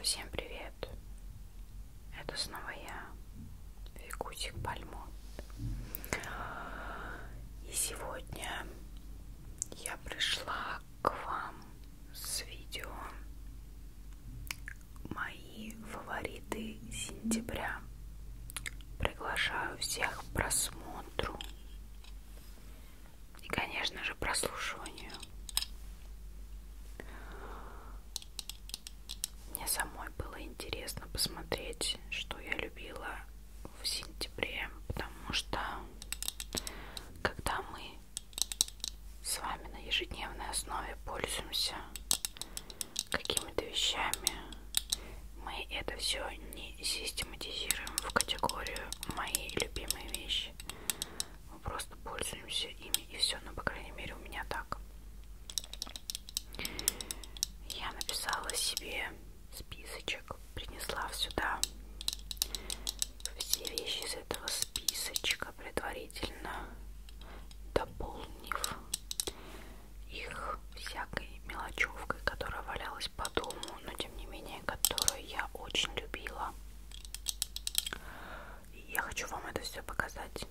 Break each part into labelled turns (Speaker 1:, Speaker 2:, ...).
Speaker 1: Всем привет! Это снова я, Викусик Пальмо. И сегодня я пришла к вам с видео «Мои фавориты сентября». Приглашаю всех к просмотру и, конечно же, прослушиванию. Мне самой было интересно посмотреть, что я любила в сентябре, потому что когда мы с вами на ежедневной основе пользуемся какими-то вещами, мы это все не систематизируем в категорию мои любимые вещи. Мы просто пользуемся ими и все, но ну, по крайней мере у меня так. Я написала себе списочек, принесла сюда все вещи из этого списочка, предварительно дополнив их всякой мелочевкой, которая валялась по дому, но тем не менее, которую я очень любила. Я хочу вам это все показать.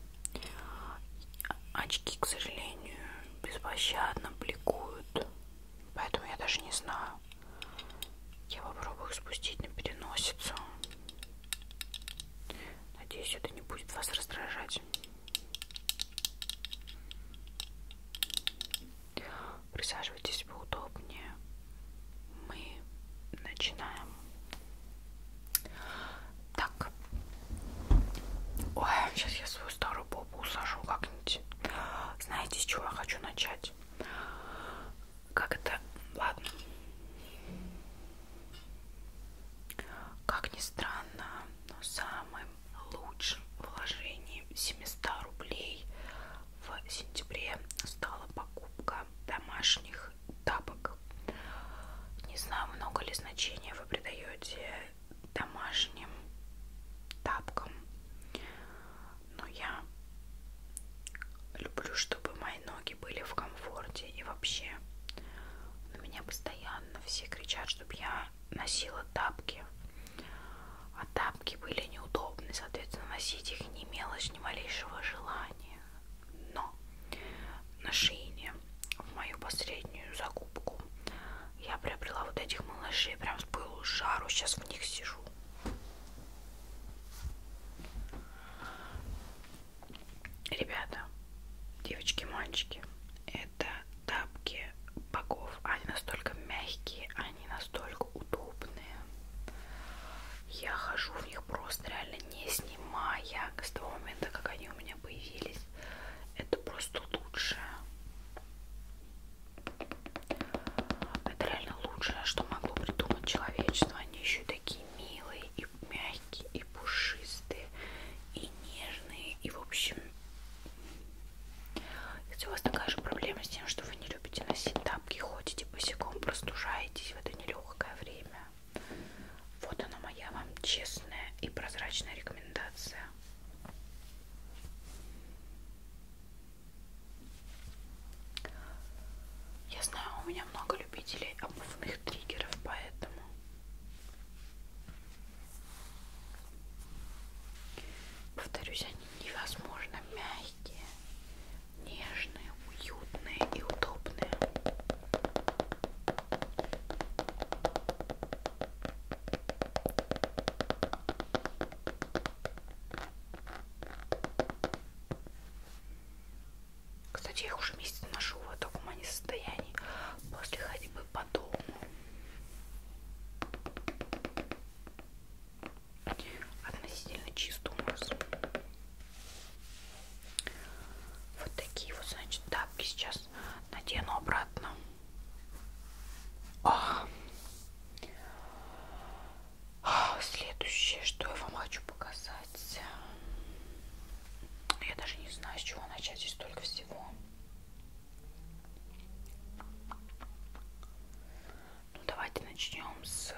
Speaker 1: Очки, к сожалению, беспощадно бликуют. Поэтому я даже не знаю. Я попробую их спустить на переносицу. Надеюсь, это не будет вас раздражать. Присаживайтесь поудобнее. Мы начинаем. Так. Ой, сейчас я свою старую попу усажу как-нибудь. Знаете, с чего я хочу начать? Как это? Ладно. Как ни странно, но самым лучшим вложением 700 рублей в сентябре стала покупка домашних тапок. Не знаю, много ли значения вы придаете домашним тапкам, но я люблю, чтобы мои ноги были в комфорте и вообще на меня постоянно все кричат, чтобы я носила тапки а тапки были неудобны, соответственно, носить их не имелось ни малейшего желания. Но на Шиине, в мою последнюю закупку, я приобрела вот этих малышей, прям с пылу жару, сейчас в них сижу. Ребята, девочки, мальчики, это тапки богов. Они настолько мягкие, они они настолько удобные. Я хожу в них просто реально не снимая. С того момента, как они у меня появились, это просто лучшее. Это реально лучшее, что могло придумать человечество. Они еще такие милые и мягкие, и пушистые, и нежные, и в общем... Если у вас такая же проблема с тем, что вы не любите носить тапки, ходите ходите босиком, простужаетесь в это нелегкое время. Вот она моя вам честная и прозрачная рекомендация. Я знаю, у меня много любителей обувных триггеров, поэтому повторюсь, они невозможно мягкие, нежные, уютные и удобные. Кстати, я их уже месяц ношу в таком они состоянии после ходьбы по дому относительно чистый умус. Вот такие вот, значит, тапки сейчас надену обратно. А. А, следующее, что я вам хочу показать. Ну, я даже не знаю, с чего начать, здесь столько всего. Ну, давайте начнем с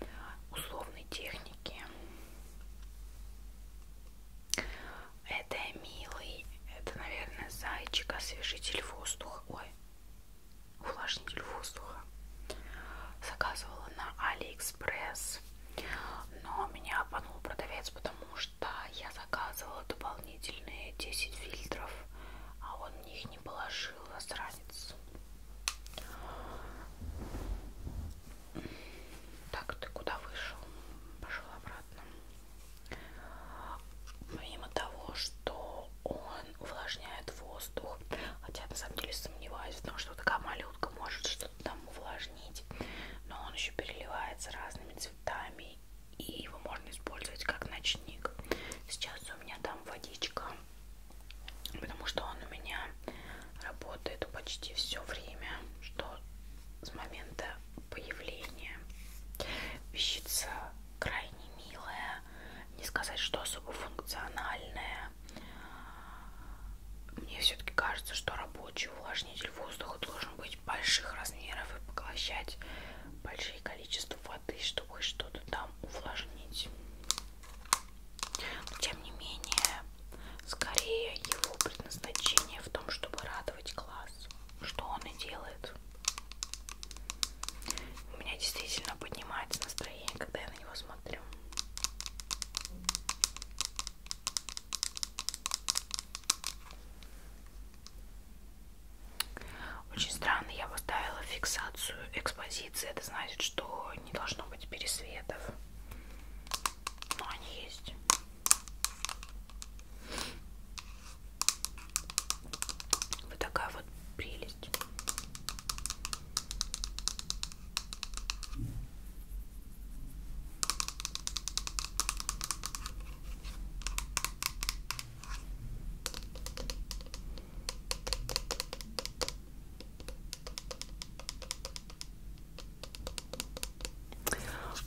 Speaker 1: э, условной техники. Это милый, это, наверное, зайчик, освежитель воздуха. Ой, увлажнитель воздуха. Заказывала на Алиэкспресс, но меня обманул продавец, потому что я заказывала дополнительные 10 фильтров, а он он мне их не положил, засранец. Так, ты куда вышел? Пошел обратно. Помимо того, что он увлажняет воздух, хотя на самом деле сомневаюсь, потому что такая малютка может что-то там увлажнить, но он еще переливается разными цветами и его можно использовать как ночник. Сейчас у меня там водичка, потому что он у меня работает почти все время, что с момента появления. Вещица крайне милая, не сказать, что особо функциональная. Мне все-таки кажется, что рабочий увлажнитель воздуха должен быть больших размеров и поглощать большие количества воды, чтобы что-то там увлажнить. Но, тем не менее, скорее его предназначение в том, чтобы радовать глаз, что он и делает. У меня действительно поднимается настроение, когда я на него смотрю. Очень странно, я поставила фиксацию экспозиции. Это значит, что не должно быть пересветов. Но они есть. Вот такая вот прелесть.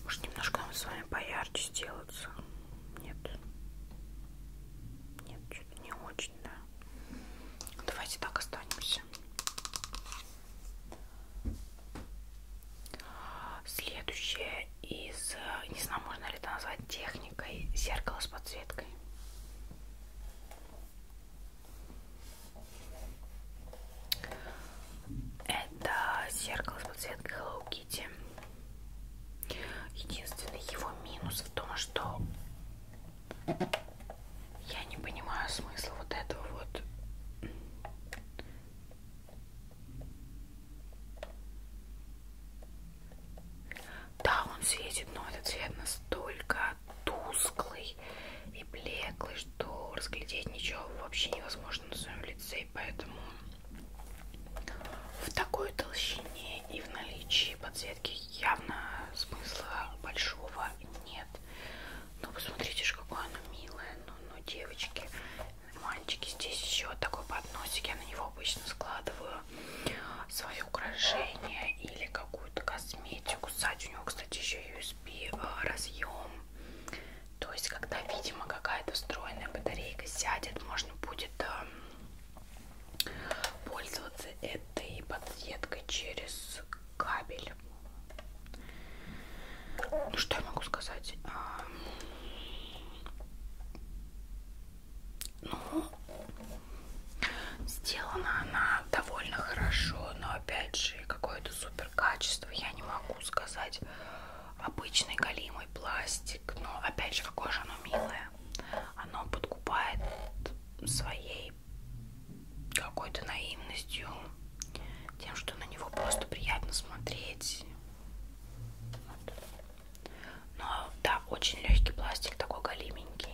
Speaker 1: Может, немножко нам с вами поярче сделаться? Нет. Нет, что-то не очень, да. Давайте так останемся. Следующее из, э, не знаю, можно ли это назвать техникой, зеркало с подсветкой. Это зеркало с подсветкой Hello Kitty. Единственный его минус в том, что я не понимаю смысла вот этого вот да, он светит, но этот цвет настолько тусклый и блеклый, что разглядеть ничего вообще невозможно на своем лице, и поэтому в такой толщине и в наличии подсветки явно смысла большого нет. Но ну, посмотрите же, какое оно милое. Ну, ну девочки, мальчики, здесь еще такой подносик. Я на него обычно складываю свои украшения или какую-то косметику. Сзади у него, кстати, еще USB э, разъем. То есть, когда, видимо, какая-то встроенная батарейка сядет, можно будет э, пользоваться этой подсветкой через кабель. Ну, что я могу сказать? Эм, ну, сделана она довольно хорошо, но опять же, какое-то супер качество я не могу сказать. Обычный галимый пластик, но опять же, какое же оно милое. Оно подкупает своей какой-то наивностью, тем, что на него просто приятно смотреть. Вот. Но да, очень легкий пластик, такой голименький.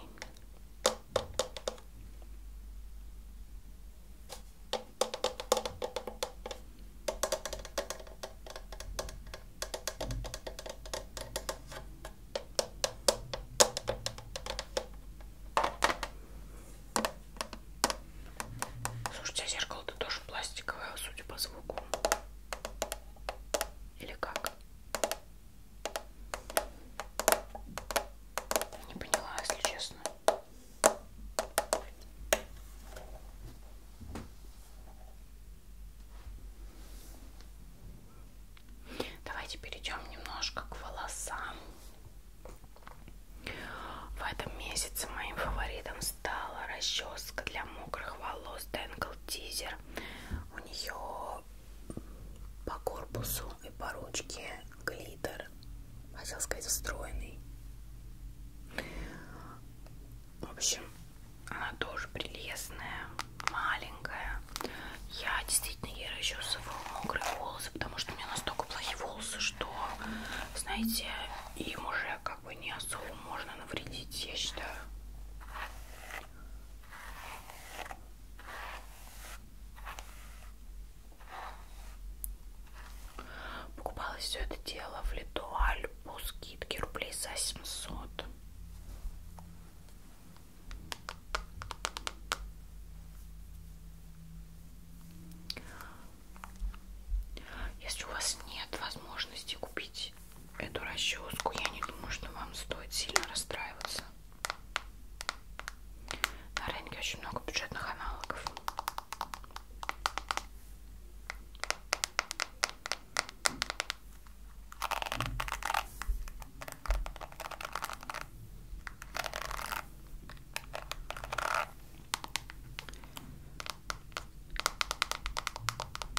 Speaker 1: Слушайте, а зеркало-то тоже пластиковое, судя по звуку. Или как? Не поняла, если честно. Давайте перейдем немножко к волосам. В этом месяце моим фаворитом стала расческа для мокрых волос Tangle Teaser. У нее по корпусу и по ручке глиттер, хотел сказать встроенный. В общем, она тоже прелестная, маленькая. Я действительно ей расчесываю мокрые волосы, потому что у меня настолько плохие волосы, что, знаете, им уже как бы не особо можно навредить, я считаю. Покупала все это дело в Литуаль по скидке рублей за 700. Если у вас нет возможности купить эту расческу, я не думаю, что вам стоит сильно расстраиваться. На рынке очень много бюджетных аналогов.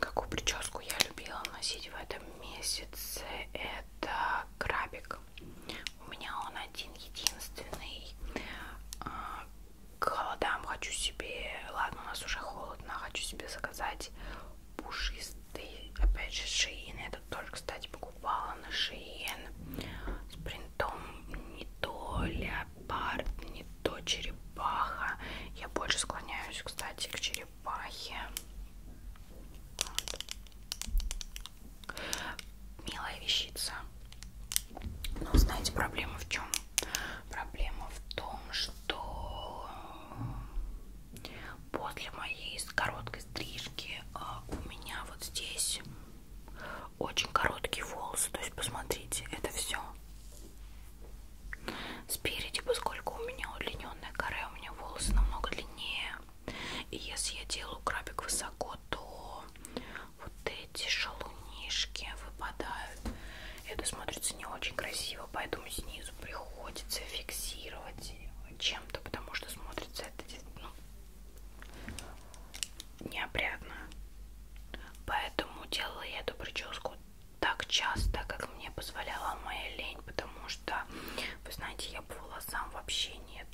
Speaker 1: Какую прическу я любила носить в этом месяце? Это крабик. У меня он один единственный. А, к холодам хочу себе, ладно, у нас уже холодно, хочу себе заказать пушистый, опять же, шиин. Я этот тоже, кстати, покупала на шиин с принтом не то леопард, не то черепаха. Я больше склоняюсь, кстати, к черепахе. Вот. Милая вещица. Но знаете, проблема в чем? Проблема в том, что после моей короткой стрижки а, у меня вот здесь очень короткие волосы. То есть, посмотрите, это все спереди, поскольку у меня удлиненная кора, у меня волосы намного длиннее. И если я делаю крабик высоко, то вот эти шалунишки выпадают. Это смотрится не очень красиво, поэтому снизу приходится фиксировать чем-то, потому что смотрится это ну, неопрятно. Поэтому делала я эту прическу так часто, как мне позволяла моя лень, потому что, вы знаете, я по волосам вообще нет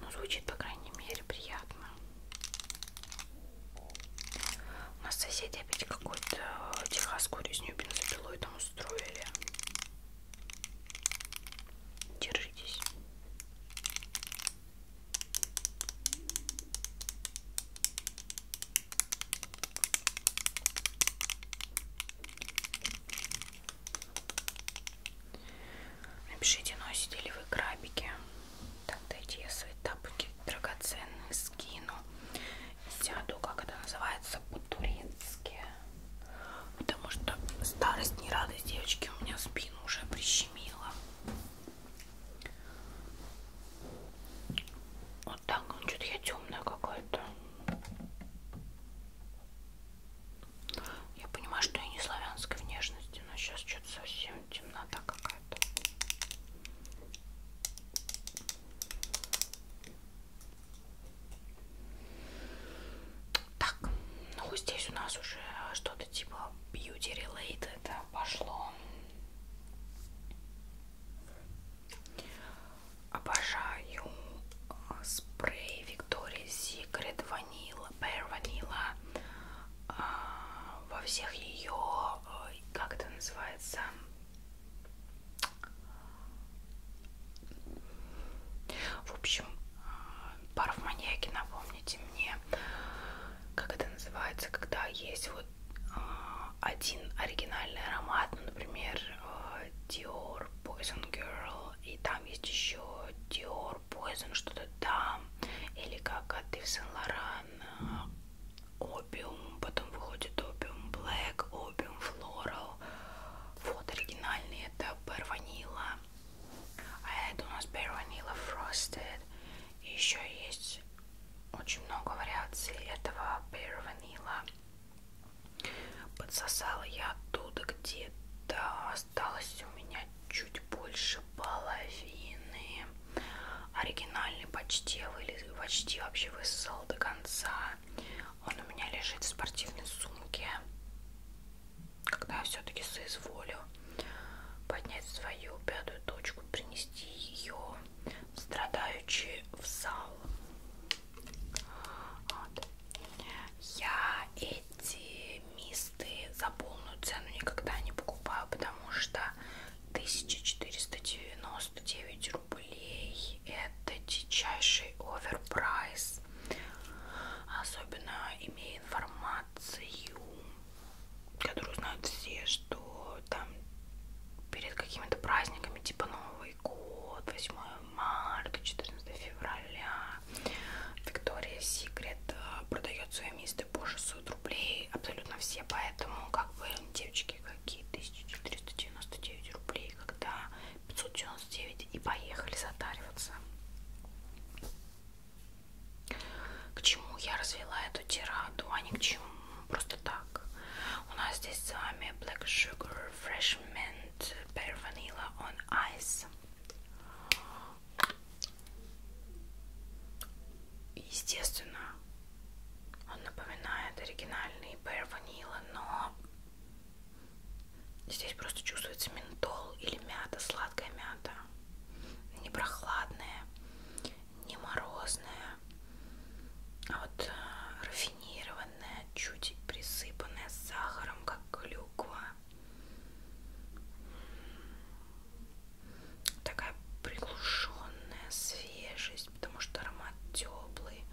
Speaker 1: ну, звучит, по крайней мере, приятно. У нас соседи опять какую-то э, техасскую резню бензопилой там устроили. Держитесь. Напишите, носите ли вы крабики. Так, дайте я свои тапки драгоценные скину. Сяду, как это называется, по-турецки. Потому что старость не радость, девочки, у меня спину уже прищемила. Вот так, ну что-то я темная какая-то. Я понимаю, что я не славянской внешности, но сейчас что-то совсем темнота какая-то. Так, ну здесь у нас уже что-то типа beauty related пошло. Обожаю э, спрей Victoria's Secret Vanilla Vanilla Pear Vanilla во всех ее, э, как это называется, в общем, э, парф маньяки, напомните мне, как это называется, когда есть вот э, один оригинальный аромат, ну, например, Dior Poison Girl, и там есть еще Dior Dior Poison, что-то там, или как от а Ивсен Лоран, э, Опиум, потом выходит Опиум Black, Опиум Floral, вот оригинальный, это Bear Vanilla, а это у нас Bear Vanilla Frosted, и еще есть очень много вариаций этого Bear Vanilla, подсосала я оттуда где-то осталось у меня чуть больше половины. Оригинальный почти вылез, почти вообще высосал до конца. Он у меня лежит в спортивной сумке. Когда я все-таки соизволю поднять свою пятую точку, принести ее страдающий в зал. Вот. Я эти эти мисты за полную цену никогда не покупаю, потому что 1499 рублей это дичайший оверпрайс. Особенно имея информацию, которую знают все, что там перед какими-то праздниками, типа Новый год, 8 марта, 14 февраля. Виктория Секрет э, продает свои мисты по 600 рублей. Абсолютно все, поэтому как бы девочки какие 1399 рублей, когда 599 и поехали затариваться. К чему я развела эту тираду, а не к чему? Просто так. У нас здесь с вами Black Sugar Fresh Mint Pear Vanilla on Ice. Естественно, он напоминает оригинальный Bear Vanilla, но здесь просто чувствуется ментол или мята, сладкая мята. Не прохладная, не морозная, а вот э, рафинированная, чуть присыпанная сахаром, как клюква такая приглушенная свежесть, потому что аромат теплый,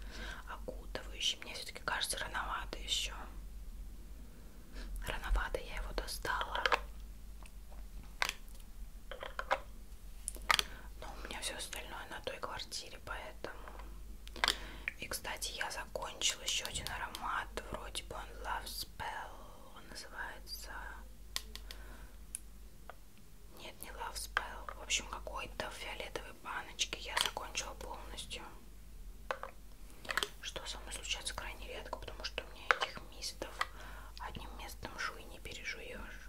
Speaker 1: окутывающий. Мне все-таки кажется рановато еще. Рановато я его достала. Но у меня все остальное на той квартире, поэтому и, кстати, я закончила еще один аромат. Вроде бы он Love Spell. Он называется... Нет, не Love Spell. В общем, какой-то в фиолетовой баночке. Я закончила полностью. Что со мной случается крайне редко, потому что у меня этих мистов одним местом жуй не пережуешь.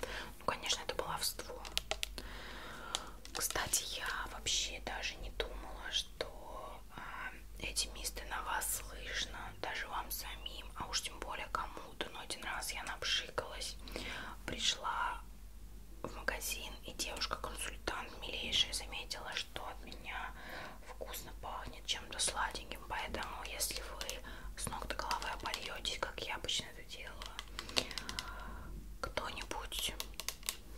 Speaker 1: Вот. Ну, конечно, это баловство. Кстати, я вообще даже не думала, что э, эти мисты на вас слышно, даже вам самим, а уж тем более кому-то. Но один раз я напшикалась, пришла в магазин, и девушка-консультант милейшая заметила, что от меня вкусно пахнет чем-то сладеньким. Поэтому, если вы с ног до головы обольетесь, как я обычно это дело кто-нибудь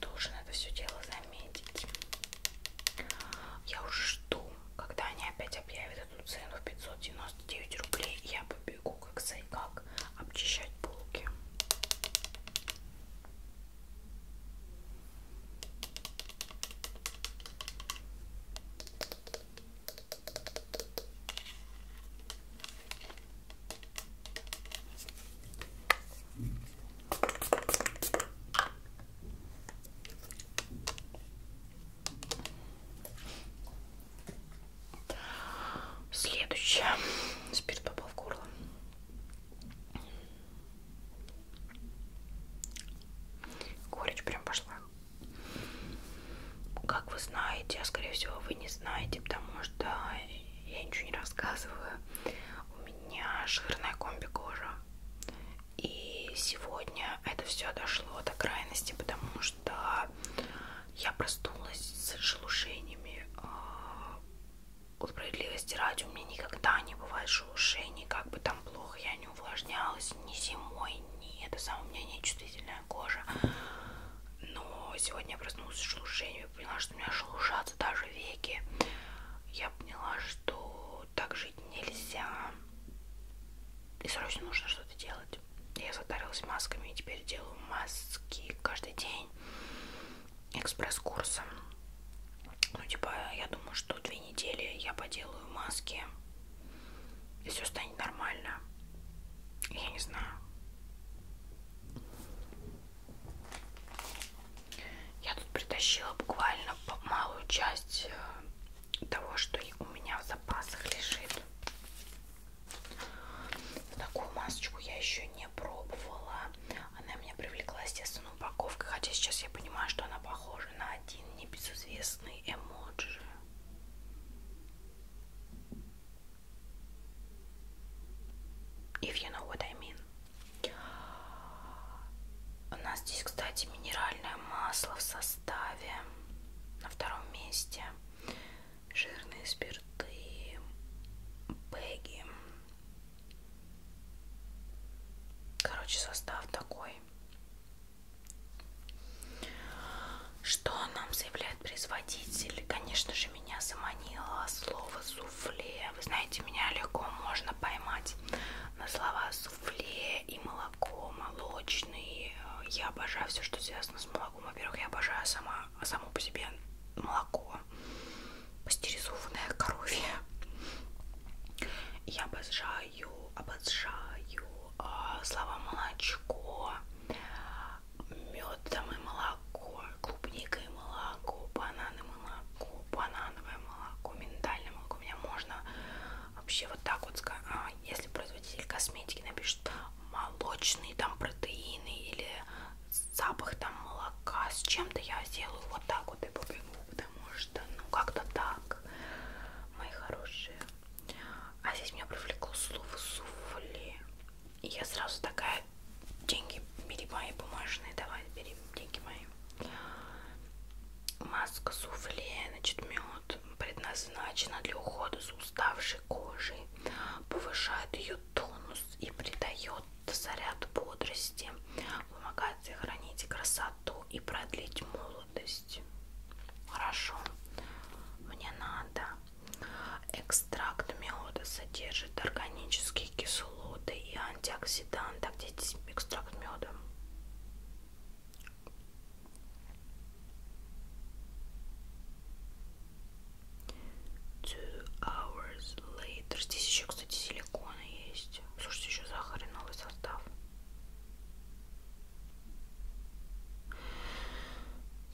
Speaker 1: должен это все дело заметить. Я уже жду, когда они опять объявят эту цену в 599 рублей, я побегу как сайкак обчищать булки. Следующее. Спирт попал в горло. Горечь прям пошла. Как вы знаете, а скорее всего вы не знаете, потому что я ничего не рассказываю. У меня жирная комби кожа. И сегодня это все дошло до крайности, потому что я проснулась с шелушениями. А, справедливости ради, у меня никогда не бывает шелушений, как бы там плохо я не увлажнялась, ни зимой, ни это самое, у меня нечувствительная кожа. Но сегодня я проснулась с шелушением и поняла, что у меня шелушатся даже веки. Я поняла, что так жить нельзя. И срочно нужно что-то делать. Я затарилась масками и теперь делаю маски каждый день экспресс-курсом. Ну, типа, я думаю, что две недели я поделаю маски и все станет нормально. Я не знаю. Я тут притащила буквально малую часть э, того, что у меня в запасах лежит. Такую масочку я еще не пробовала. Она меня привлекла, естественно, упаковкой. Хотя сейчас я понимаю, что она похожа на один небезызвестный эмоджи. If you know what I mean. У нас здесь, кстати, минеральное масло в составе на втором месте. Жирные спирты, бэги. Короче, состав такой. Что нам заявляет производитель? Конечно же, меня заманило слово суфле. Вы знаете, меня легко можно поймать на слова суфле и молоко, молочные. Я обожаю все, что связано с молоком. Во-первых, я обожаю сама, само по себе молоко, пастеризованное коровье. Я обожаю, обожаю а, слова молочко, мед там и молоко, клубника и молоко, бананы молоко, банановое молоко, миндальное молоко. У меня можно вообще вот так вот сказать, если производитель косметики напишет молочные там протеины или запах там молока с чем-то, я сделаю вот так вот и побегу, потому что ну как-то так, мои хорошие. А здесь меня привлекло слово суфли. И я сразу такая, деньги, бери мои бумажные, давай, бери деньги мои. Маска суфле, значит, мед предназначена для ухода за уставшей кожей, повышает ее тонус и придает заряд бодрости, помогает сохранить красоту и продлить молодость жидкость. Хорошо. Мне надо. Экстракт меда содержит органические кислоты и антиоксиданты. А где здесь экстракт меда? Two hours later. Здесь еще, кстати, силиконы есть. Слушайте, еще захарный новый состав.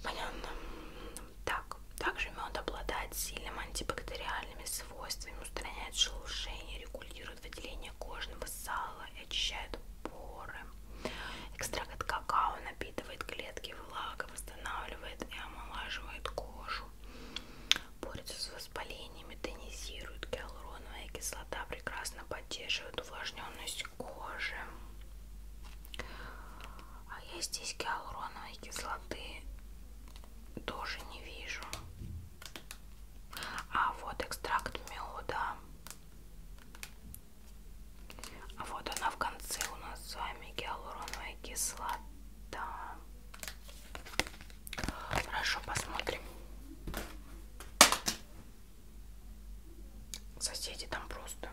Speaker 1: Понятно. Так, также мед обладает сильным антибактериальными свойствами, устраняет шелушение, регулирует выделение кожного сала и очищает поры. Экстракт какао напитывает клетки влагой, восстанавливает и омолаживает кожу. Борется с воспалениями, тонизирует гиалуроновая кислота, прекрасно поддерживает увлажненность кожи. А я здесь гиалуроновой кислоты тоже не вижу. А вот экстракт меда. А вот она в конце у нас с вами гиалуроновая кислота. Хорошо, посмотрим. Соседи там просто.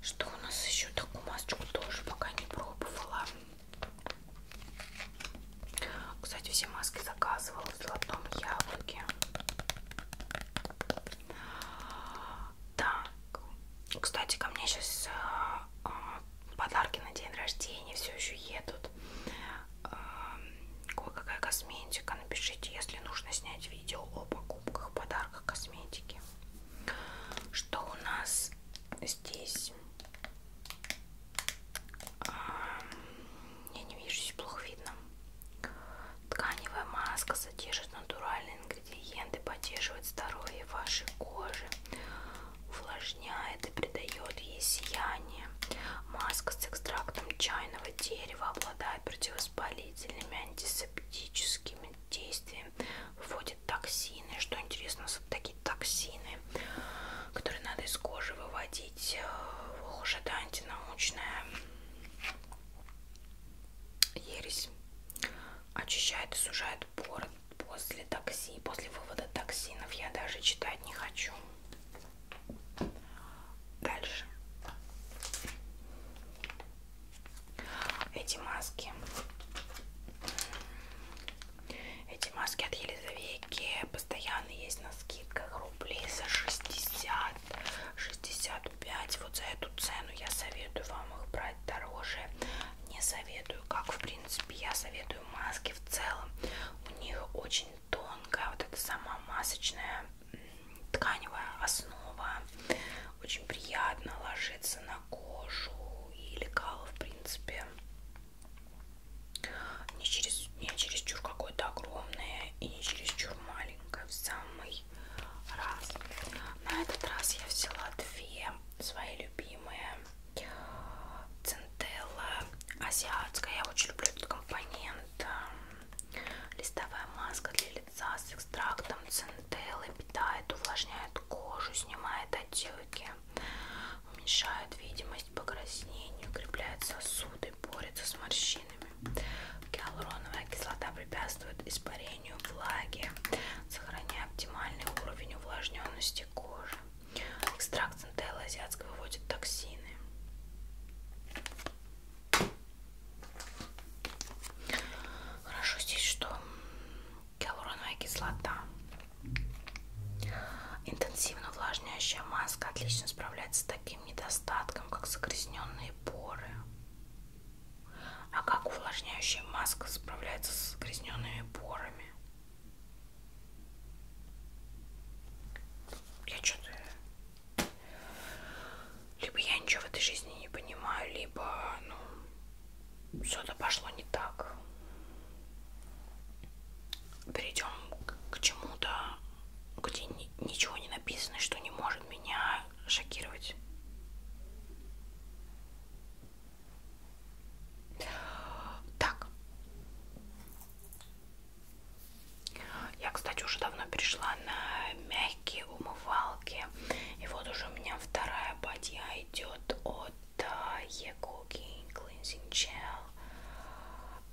Speaker 1: Что у нас еще? Такую масочку тоже пока не пробовала. Кстати, все маски заказывала в золотом яблоке. Так. Кстати, ко мне сейчас а, а, подарки на день рождения все еще едут кое-какая косметика. Напишите, если нужно снять видео о покупках, подарках косметики. Что у нас здесь? А, я не вижу, здесь плохо видно. Тканевая маска содержит натуральные ингредиенты, поддерживает здоровье вашей кожи, увлажняет и придает ей сияние. Маска с экстрактом чайного дерева обладает противовоспалительными, антисептическими действиями, выводит токсины. Что интересно, такие токсины, которые надо из кожи выводить. Э, ох уж это антинаучная ересь. Очищает и сужает поры после токсин, после вывода токсинов. Я даже читать не хочу. Дальше. Эти маски. Эти маски от Елизавейки постоянно есть на скидках рублей за 60, 65. Вот за эту цену я советую вам их брать дороже. Не советую, как в принципе я советую маски в целом. У них очень тонкая, вот эта сама масочная тканевая основа. Очень приятно ложится на кожу и лекала, в принципе, не через не чересчур какое-то огромное и не чересчур маленькое, в самый раз. На этот раз я взяла две свои любимые. Центелла азиатская. Я очень люблю этот компонент. Листовая маска для лица с экстрактом центеллы питает, увлажняет кожу, снимает отеки, уменьшает видимость покраснения, укрепляет сосуды, борется с морщинами. Гиалуроновая кислота препятствует испарению влаги, сохраняя оптимальный уровень увлажненности кожи. Экстракт центеллы азиатской выводит токсины. Хорошо здесь, что гиалуроновая кислота. Интенсивно увлажняющая маска отлично справляется с таким недостатком, как загрязненные поры. А как увлажняющая маска справляется с загрязненными порами? Я что-то либо я ничего в этой жизни не понимаю, либо, ну, что-то пошло не так. Перейдем к чему-то, где ничего не написано, что не может меня шокировать. Так. Я, кстати, уже давно перешла на мягкие умывалки. И вот уже у меня вторая бадья идет от Егоги а, Cleansing Gel.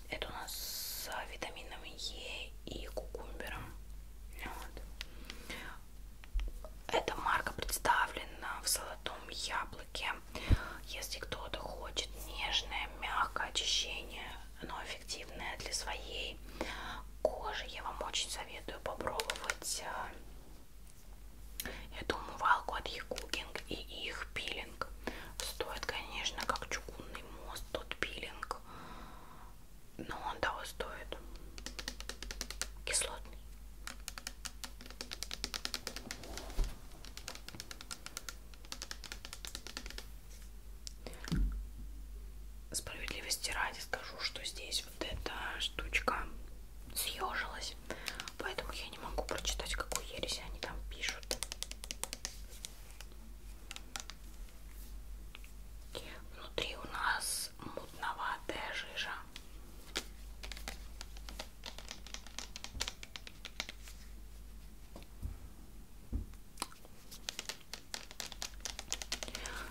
Speaker 1: Это у нас с витамином Е и кукумбером. Вот. Эта марка представлена в золотом яблоке. Если кто-то хочет нежное, мягкое очищение оно эффективное для своей кожи. Я вам очень советую попробовать эту умывалку от Якугинг и их пилинг. Стоит, конечно, как чугунный мост тот пилинг, но он того стоит. Кислотный. Справедливости ради скажу, что здесь вот эта штучка съежилась, поэтому я не могу прочитать, какую ересь они там пишут. Внутри у нас мутноватая жижа.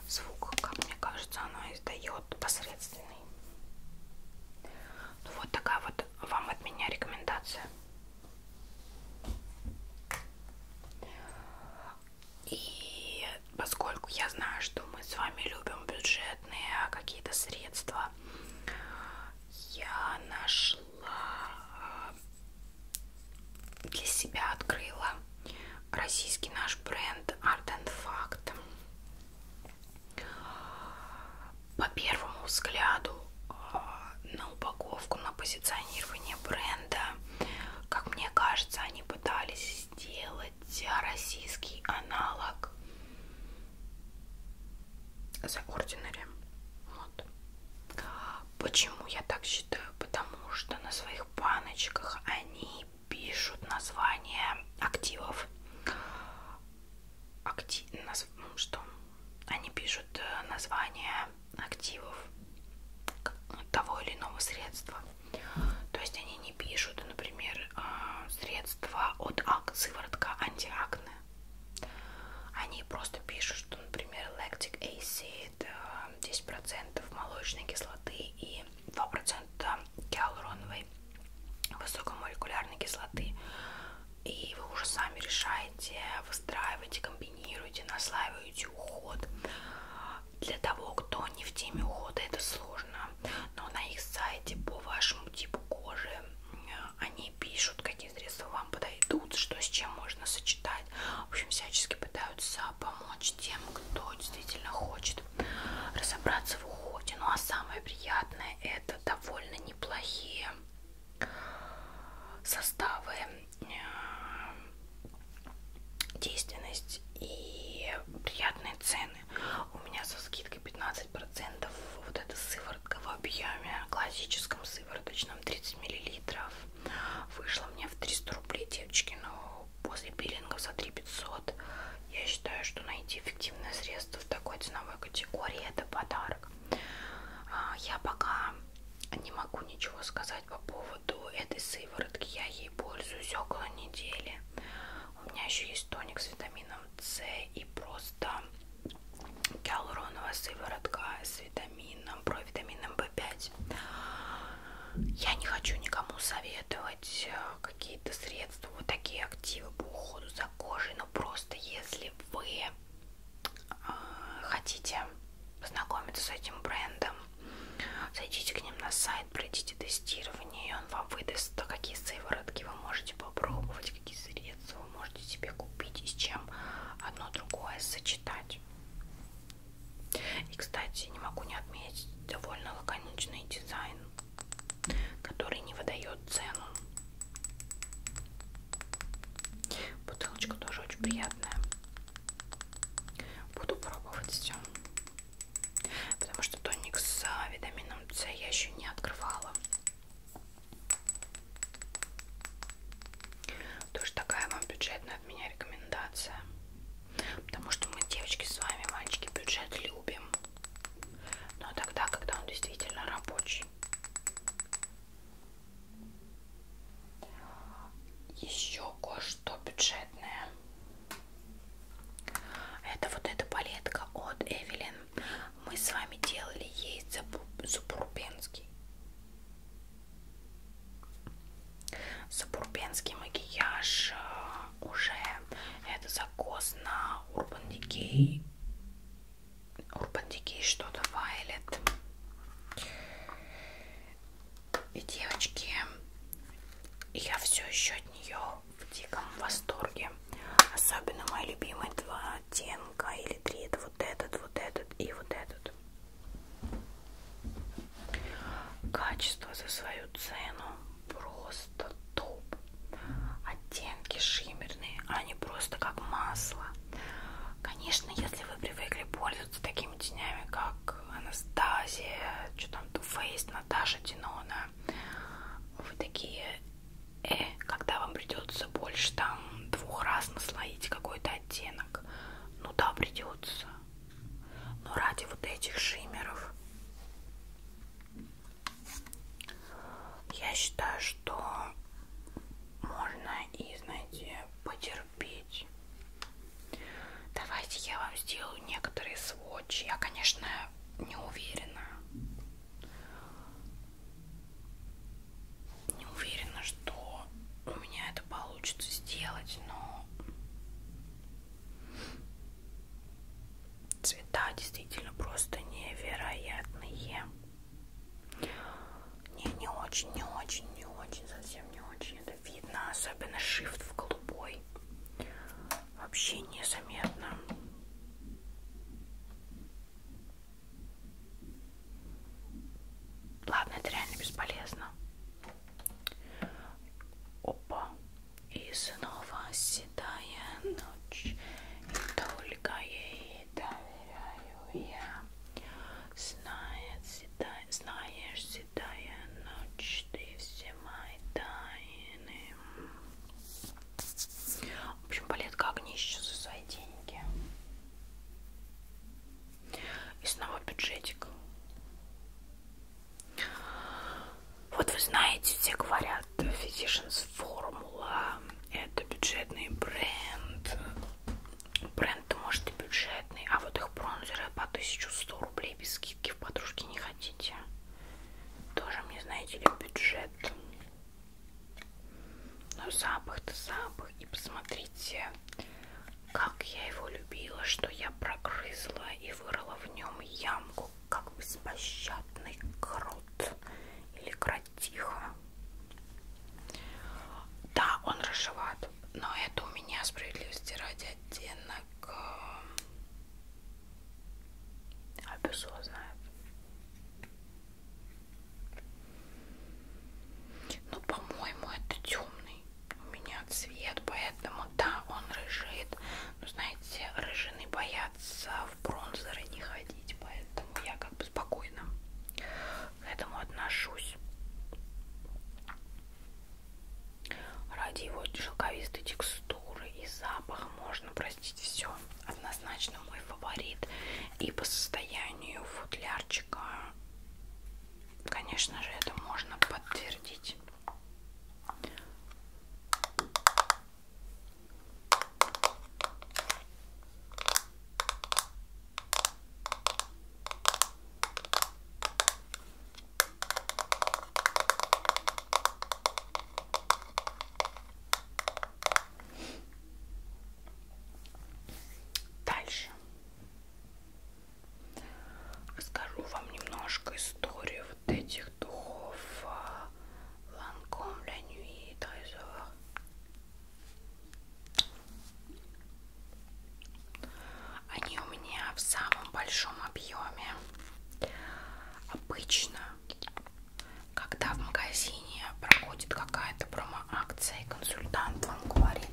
Speaker 1: Звук, как мне кажется, оно издает посредственный. Ну, вот такая вот вам от меня рекомендация. И поскольку я знаю, что мы с вами любим бюджетные какие-то средства, я нашла для себя открыла российский наш бренд Art and Fact. По первому взгляду э, на упаковку, на позиционирование бренда, как мне кажется, они пытались сделать российский аналог The Ordinary. Вот. Почему я так считаю? Потому что на своих баночках они пишут название активов. Актив, наз... ну, что? Они пишут э, название активов того или иного средства. То есть они не пишут, например, э, средства от ак... сыворотка антиакне. Они просто пишут, что, например, лактик acid 10% э, молочной кислоты и 2% гиалуроновой высокомолекулярной кислоты. И вы уже сами решаете, выстраиваете, комбинируете, наслаиваете уход. Для того, кто не в теме ухода, это сложно. Но на их сайте по вашему типу кожи э, они пишут, какие средства вам подойдут, что с чем можно сочетать. В общем, всячески пытаются помочь тем, кто действительно хочет разобраться в уходе. Ну а самое приятное это довольно неплохие составы, э, действенность и приятные цены. У меня со скидкой 15% вот эта сыворотка в объеме классическом сывороточном 30 30 миллилитров. Вышло мне в 300 рублей, девочки, но после пилингов за 3 500 я считаю, что найти эффективное средство в такой ценовой категории это подарок. А, я пока не могу ничего сказать по поводу этой сыворотки. Я ей пользуюсь около недели. У меня еще есть тоник с витамином С и просто гиалуроновая сыворотка с витамином, провитамином B5. Я не хочу никому советовать э, какие-то средства, вот такие активы по уходу за кожей, но просто если вы э, хотите познакомиться с этим брендом, зайдите к ним на сайт, пройдите тестирование, и он вам выдаст, какие сыворотки вы можете попробовать, какие средства вы можете себе купить и с чем одно другое сочетать. И, кстати, не могу не отметить довольно лаконичный дизайн, который не выдает цену. Бутылочка тоже очень приятная. Буду пробовать все. Потому что тоник с а, витамином С я еще не открывала. Тоже такая вам бюджетная от меня рекомендация. Потому что мы, девочки, с вами, мальчики, бюджет любим. Но тогда, когда он действительно рабочий. Еще кое-что бюджетное. Это вот эта палетка от Эвелин. Мы с вами делали ей запурпенский. Сабурбенский макияж э, уже это закос на Urban Decay. Urban Decay что-то Violet. И девочки, я все еще от нее в диком восторге. Особенно мои любимые два оттенка или три. Это вот этот, вот этот и вот этот этот качество за свою цену просто топ оттенки шиммерные они а просто как масло конечно если вы привыкли пользоваться такими тенями как Анастасия что там Too Faced Наташа Динона вы такие э, когда вам придется больше там двух раз наслоить какой-то оттенок. Ну да, придется. Но ради вот этих шиммеров я считаю, что можно и, знаете, потерпеть. Давайте я вам сделаю некоторые сводчи. Я, конечно, не уверена. Не уверена, что у меня это получится сделать, но цвета действительно просто невероятные. Не, не очень, не очень, не очень, совсем не очень это видно, особенно shift в голубой. Вообще незаметно. Ладно, это реально бесполезно. Опа. И снова седая ночь. И только ей доверяю я. Знает, седая, знаешь, седая ночь, ты все мои тайны. В общем, палетка огнища за свои деньги. И снова бюджетик. Вот вы знаете, все говорят, Physicians Formula это бюджетный бренд. Бренд может и бюджетный, а вот их бронзеры по 1100 рублей без скидки в подружке не хотите. Тоже мне, знаете ли, бюджет. Но запах-то запах. И посмотрите, как я его любила, что я прогрызла и вырыла в нем ямку, как беспощадный крот или кротиха. Да, он рыжеват, но это у меня справедливости ради оттенок. Э, а знает. Ну, по-моему, это темный у меня цвет, поэтому да, он рыжит. Но ну, знаете, рыжины боятся в бронзеры не ходить, поэтому я как бы спокойно к этому отношусь. Ради его шелковистой текстуры и запаха можно простить все. Однозначно мой фаворит и по состоянию футлярчика, конечно же, это можно подтвердить. Дальше расскажу вам немножко историю вот этих духов а, Ланком La Nuit Они у меня в самом большом объеме. Обычно когда в магазине проходит какая-то промо-акция, и консультант вам говорит,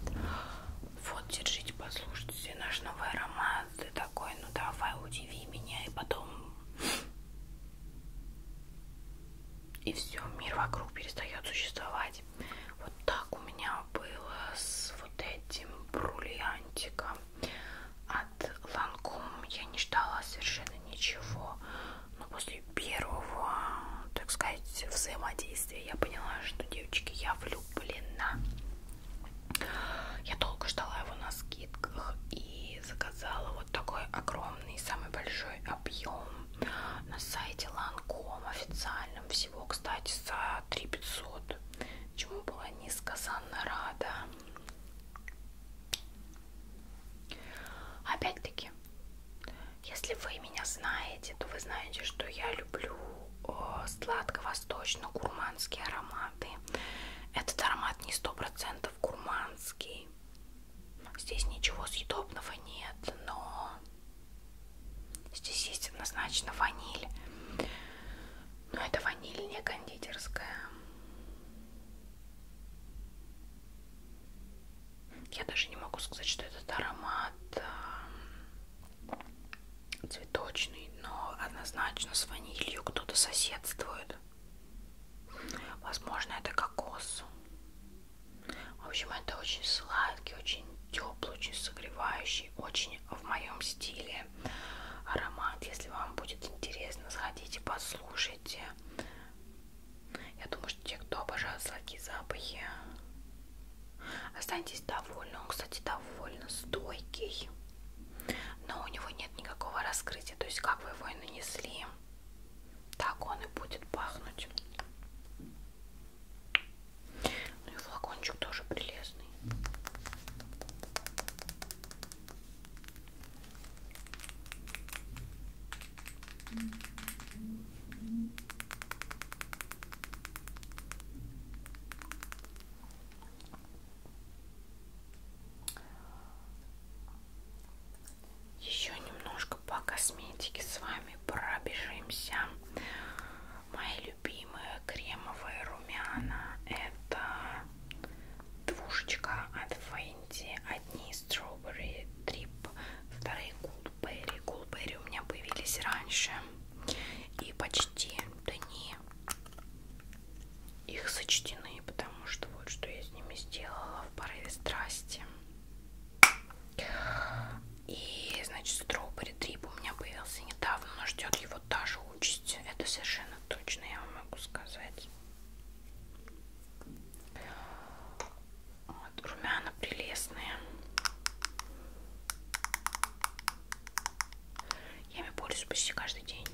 Speaker 1: вот, держите, послушайте, наш новый аромат, ты такой, ну давай, удиви меня, и потом... И все, мир вокруг перестает существовать. Вот так у меня было с вот этим бриллиантиком от Ланком. Я не ждала совершенно ничего но после первого, так сказать, взаимодействия я поняла, что, девочки, я влюблена. Я долго ждала его на скидках и заказала вот такой огромный, самый большой объем на сайте Lancome официальном. Всего, кстати, за 3500, чему была несказанно рада. Опять-таки, если вы меня знаете, то вы знаете, что я люблю сладко-восточно-гурманские ароматы. Этот аромат не сто процентов гурманский. Здесь ничего съедобного нет, но здесь есть однозначно ваниль. Но это ваниль не кондитерская. Я даже не могу сказать, что этот аромат эм, цветочный, но однозначно с ванилью кто-то соседствует. Возможно, это кокос. В общем, это очень сладкий, очень теплый, очень согревающий, очень в моем стиле аромат. Если вам будет интересно, сходите, послушайте. Я думаю, что те, кто обожают сладкие запахи, останетесь довольны. Он, кстати, довольно стойкий, но у него нет никакого раскрытия. То есть, как вы его и нанесли, так он и будет пахнуть. Ну и флакончик тоже прелестный. Еще немножко по косметике с вами пробежимся. Мои любимые кремовые румяна это двушечка от Fenty, одни Strawberry Трип, вторые Гулберри. Гулберри у меня появились раньше. И почти дни их сочтены, потому что вот что я с ними сделала в порыве страсти. И, значит, Строубери Трип у меня появился недавно, но ждет его та же участь. Это совершенно точно, я вам могу сказать. Вот, румяна прелестные. Я ими пользуюсь почти каждый день.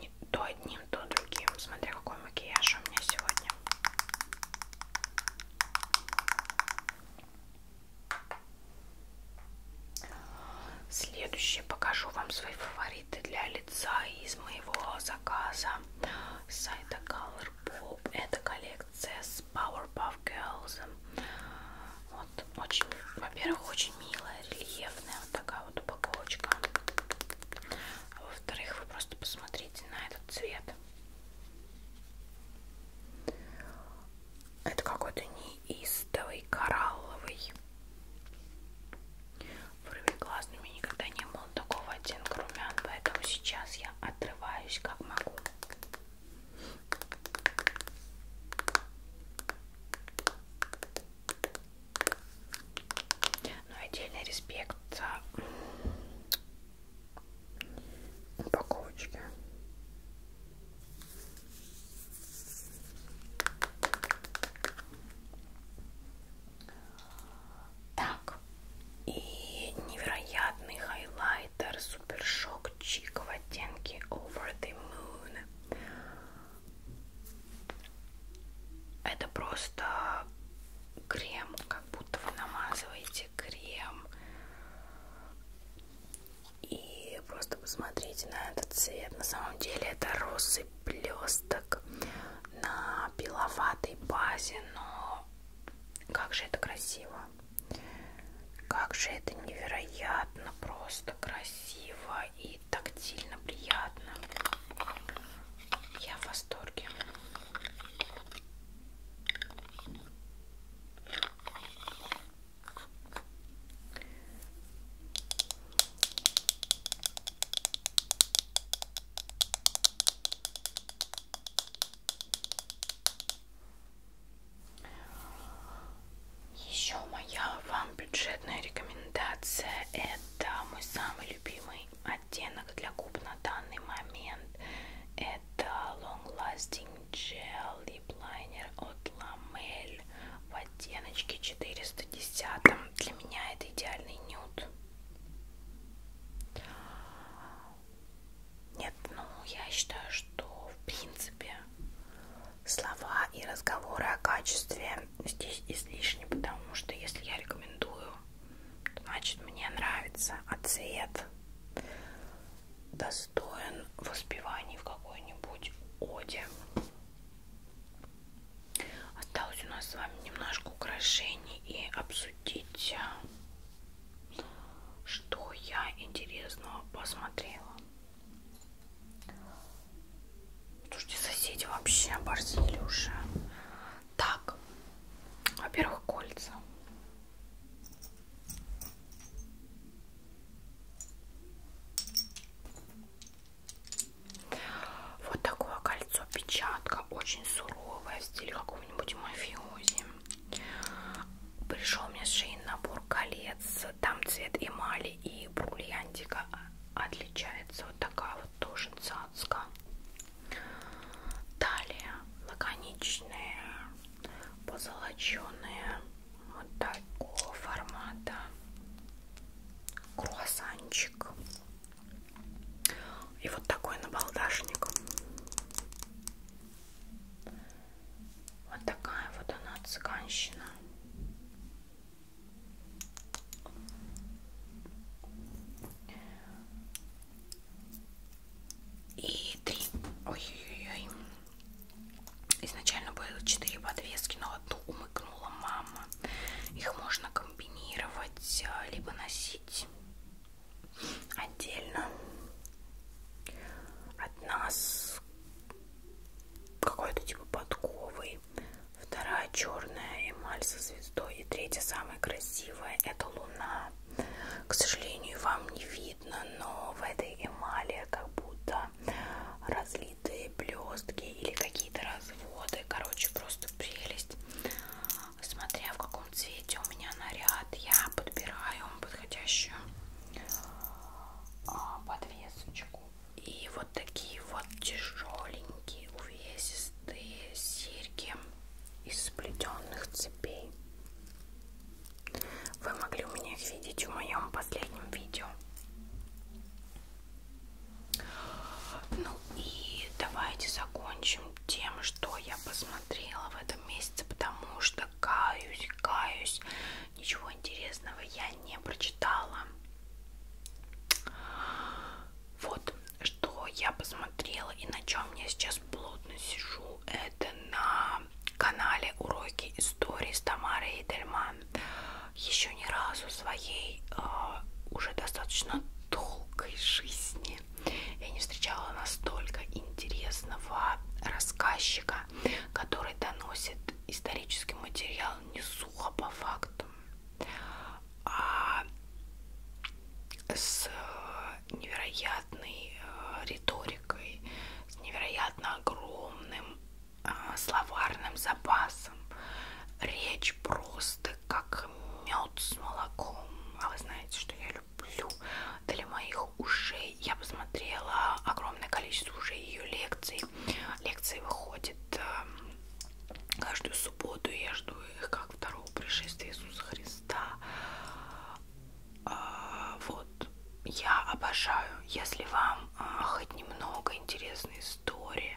Speaker 1: Не, то одним, то другим. Смотря какой макияж у меня сегодня. Следующее покажу вам свои фавориты защиты для лица из моего заказа с сайта Colourpop. Это коллекция с Powerpuff Girls. Вот, очень, во-первых, очень милая, рельефная вот такая вот упаковочка. А во-вторых, вы просто посмотрите на этот цвет. Это какой-то неистовый коралловый. Уровень классный, у меня никогда не было такого оттенка румян, поэтому сейчас я отрываюсь как могу. Ну отдельный респект за упаковочки. Так, и невероятный хайлайтер Супершок Чик в оттенке Over the Moon. Это просто крем, как будто вы намазываете крем. И просто посмотрите на этот цвет. На самом деле это розы виде блесток на беловатой базе, но как же это красиво! Как же это невероятно просто красиво и тактильно приятно. Я в восторге. Еще моя вам бюджетная рекомендация это мой самый любимый оттенок для губ на данный момент. Это Long Lasting Gel Lip Liner от Lamel в оттеночке 410. Для меня это идеальный нюд. Нет, ну я считаю, что в принципе слова и разговоры о качестве здесь излишни, потому что если я рекомендую, значит мне нравится, а цвет достоин воспеваний в какой-нибудь оде. Осталось у нас с вами немножко украшений и обсудить, а, что я интересного посмотрела. Слушайте, соседи вообще оборзили уже. Так, во-первых, кольца. Вот такое кольцо печатка, очень суровое, в стиле какого-нибудь мафиози. Пришел мне шейный набор колец, там цвет эмали и бриллиантика а, отличается. Вот такая вот тоже цацка. Далее лаконичные, позолоченные, вот такого формата круассанчик и вот такой набалдашник. Вот такая вот она цыганщина. И три. Ой-ой-ой. Изначально было четыре подвески, но одну умыкнула мама. Их можно комбинировать, а, либо носить отдельно одна с какой-то типа подковой, вторая черная эмаль со звездой и третья самая красивая это луна. К сожалению, вам не видно, но в этой эмали как будто разлиты белые блестки или какие-то разводы. Короче, просто прелесть. Смотря в каком цвете у меня наряд, я подбираю подходящую а, подвесочку. И вот такие вот тяжеленькие, увесистые серьги из сплетенных цепей. Вы могли у меня их видеть в моем последнем видео. Ну и давайте закончим тем, что я посмотрела в этом месяце, потому что каюсь, каюсь, ничего интересного я не прочитала. Вот что я посмотрела и на чем я сейчас плотно сижу, это на канале Уроки истории с Тамарой Эдельман еще ни разу своей а, уже достаточно долгой жизни я не встречала настолько интересного рассказчика, который доносит исторический материал не сухо по фактам, а с невероятной а, риторикой, с невероятно огромным а, словарным запасом. Речь просто как мед с молоком. А вы знаете, что я люблю. Для моих ушей я посмотрела огромное количество уже ее лекций. Лекции выходят э, каждую субботу. Я жду их как второго пришествия Иисуса Христа. А, вот. Я обожаю, если вам э, хоть немного интересной истории,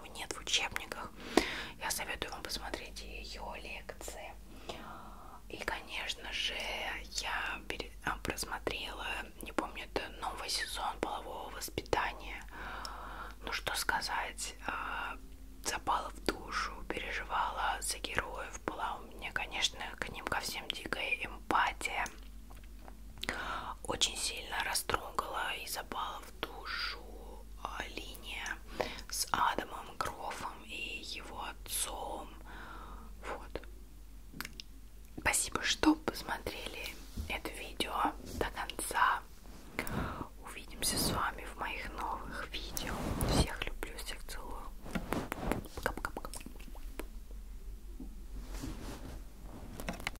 Speaker 1: его нет в учебниках. Я советую вам посмотреть ее лекции. И, конечно же, я а, просмотрела, не помню, это новый сезон полового воспитания. Ну что сказать, а, запала в душу, переживала за героев, была у меня, конечно, к ним ко всем дикая эмпатия. Очень сильно растрогала и запала в душу а, линия с Адамом Грофом и его отцом. Вот. Спасибо, что посмотрели это видео до конца. Увидимся с вами в моих новых видео. Всех люблю, всех целую. Пока-пока-пока.